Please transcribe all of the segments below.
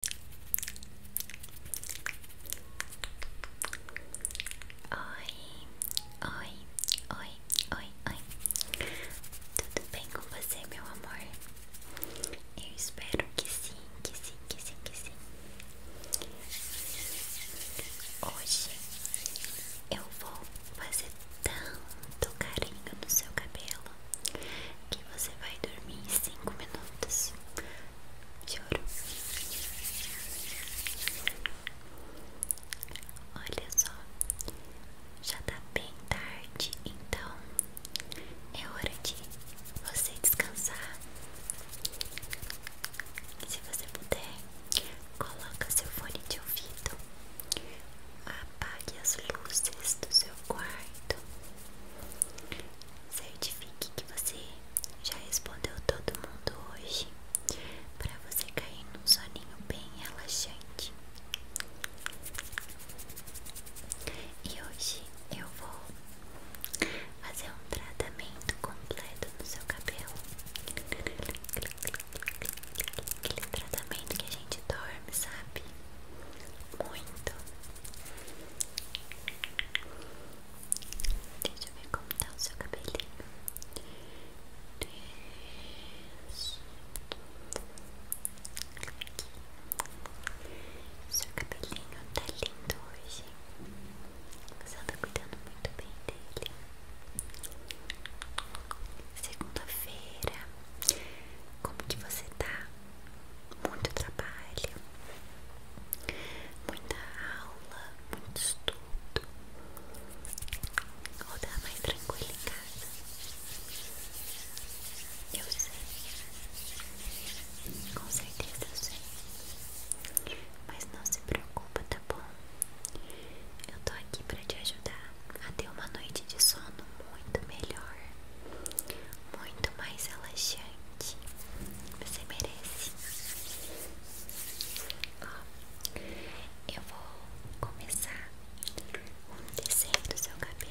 Oi, oi, oi, oi, oi. Tudo bem com você, meu amor? Eu espero que sim, que sim, que sim, que sim. Hoje eu vou fazer tanto carinho no seu cabelo que você vai dormir em 5 minutos. Juro. Olha só, já tá bem tarde, então é hora de você descansar. Se você puder, coloque seu fone de ouvido, apague as luzes do seu quarto Certifique que você já respondeu todo mundo hoje, para você cair num soninho bem relaxante. E hoje eu vou fazer um tratamento completo no seu cabelo. Aquele tratamento que a gente dorme, sabe? Muito Deixa eu ver como tá o seu cabelinho. Isso. Aqui. Seu cabelinho tá lindo hoje. Você tá cuidando muito bem dele. Segunda-feira. Como que você está muito trabalho, muita aula, muito estudo, ou dá mais tranquilo em casa. Eu sei, com certeza eu sei, mas não se preocupa, tá bom? Eu tô aqui pra te ajudar a ter uma noite de sono muito melhor muito mais relaxante. Você merece. eu vou começar um descer do seu cabelo.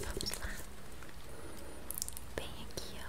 Vamos lá. Bem aqui, ó.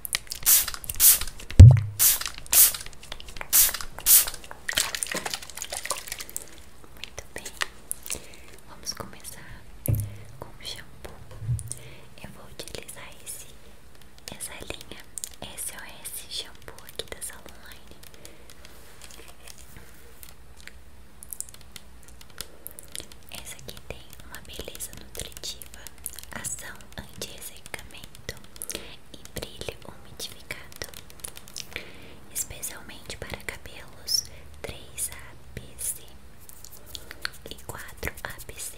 Muito bem, vamos começar com o shampoo. Eu vou utilizar esse, essa linha SOS Shampoo aqui da Salon Line. Essa aqui tem uma beleza nutritiva, ação anti-ressecamento e brilho umidificado, especialmente para cabelos três abc e quatro abc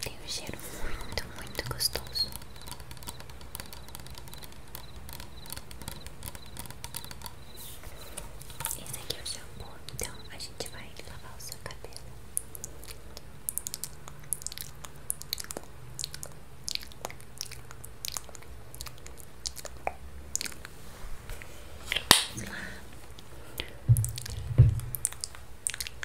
Tem um cheiro muito, muito gostoso. Esse aqui é o shampoo, então a gente vai lavar o seu cabelo. Vamos lá.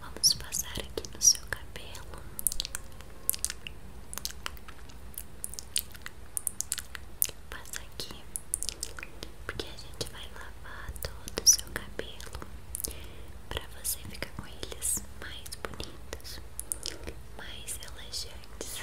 Vamos passar aqui no seu cabelo. Passa aqui, porque a gente vai lavar todo o seu cabelo para você ficar com eles mais bonitos, mais elegantes.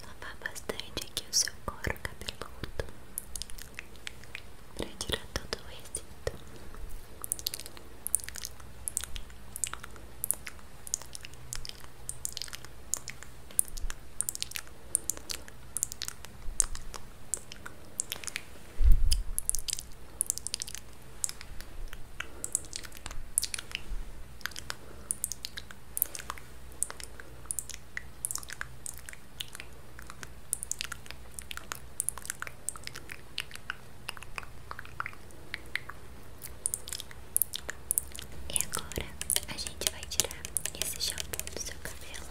Lavar bastante aqui o seu couro cabeludo para tirar todo o resíduo. E agora a gente vai tirar esse shampoo do seu cabelo.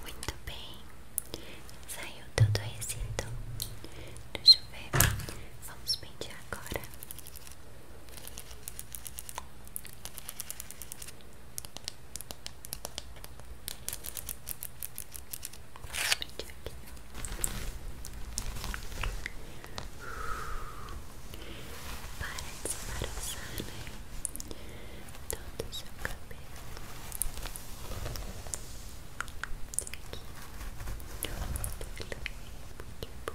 Muito bem, saiu todo o Deixa eu ver. Vamos pentear agora. Para desembaraçar, né? Todo o seu cabelo. Aqui. Muito bem, muito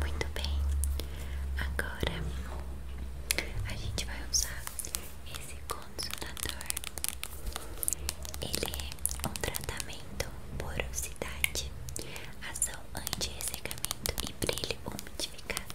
Muito bem, agora a gente vai usar esse condicionador. Ele é um tratamento porosidade, ação anti-ressecamento e brilho umidificado.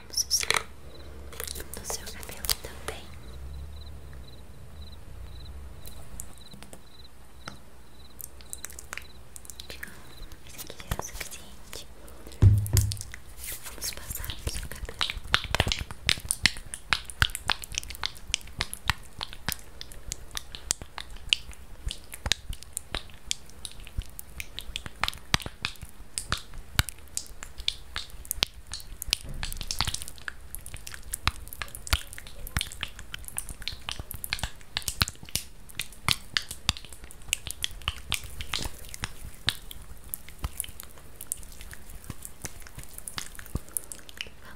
Vamos usar no seu cabelo também. Esse aqui já é o suficiente. Vamos passar no seu cabelo.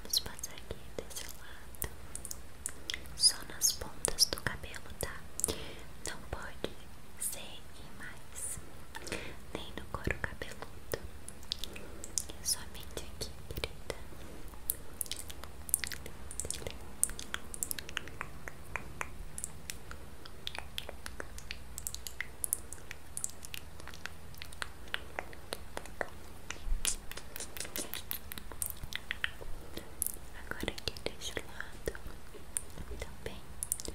Vamos passar aqui desse lado. Só nas pontas do cabelo, tá? Não pode ser e mais Nem no couro cabeludo somente aqui, querida Agora aqui deste lado também. Tá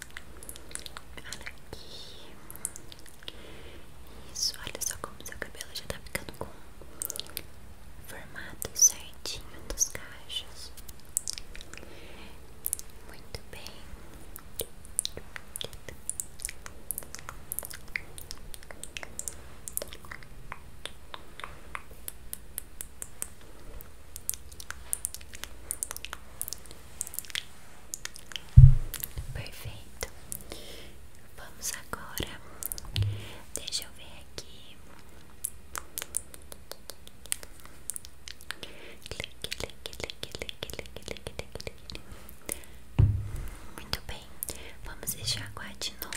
Olha aqui. Isso, olha só como seu cabelo já tá ficando com formato certinho dos cachos. Muito bem. Perfeito. Vamos agora. Deixa eu ver aqui. Muito bem. Vamos enxaguar de novo.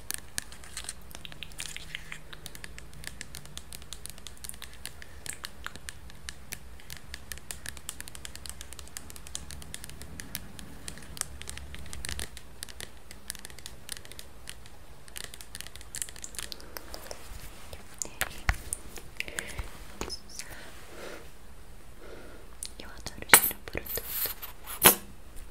Eu adoro girar por tudo.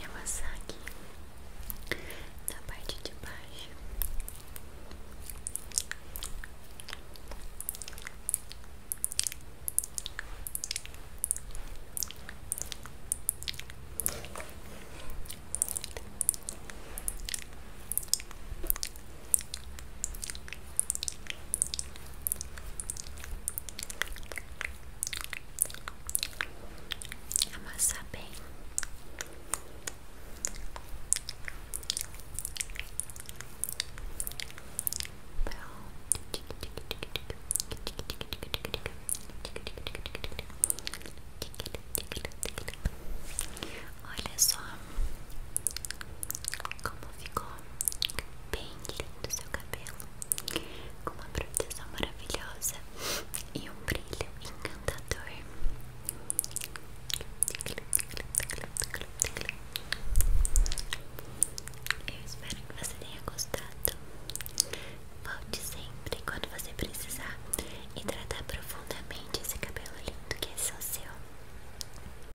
E amassar aqui na parte de baixo. Amassar bem. Pronto. Olha só como ficou bem lindo seu cabelo, com uma proteção maravilhosa e um brilho encantador. Eu espero que você tenha gostado. Volte sempre quando você precisar hidratar profundamente esse cabelo lindo que é só seu.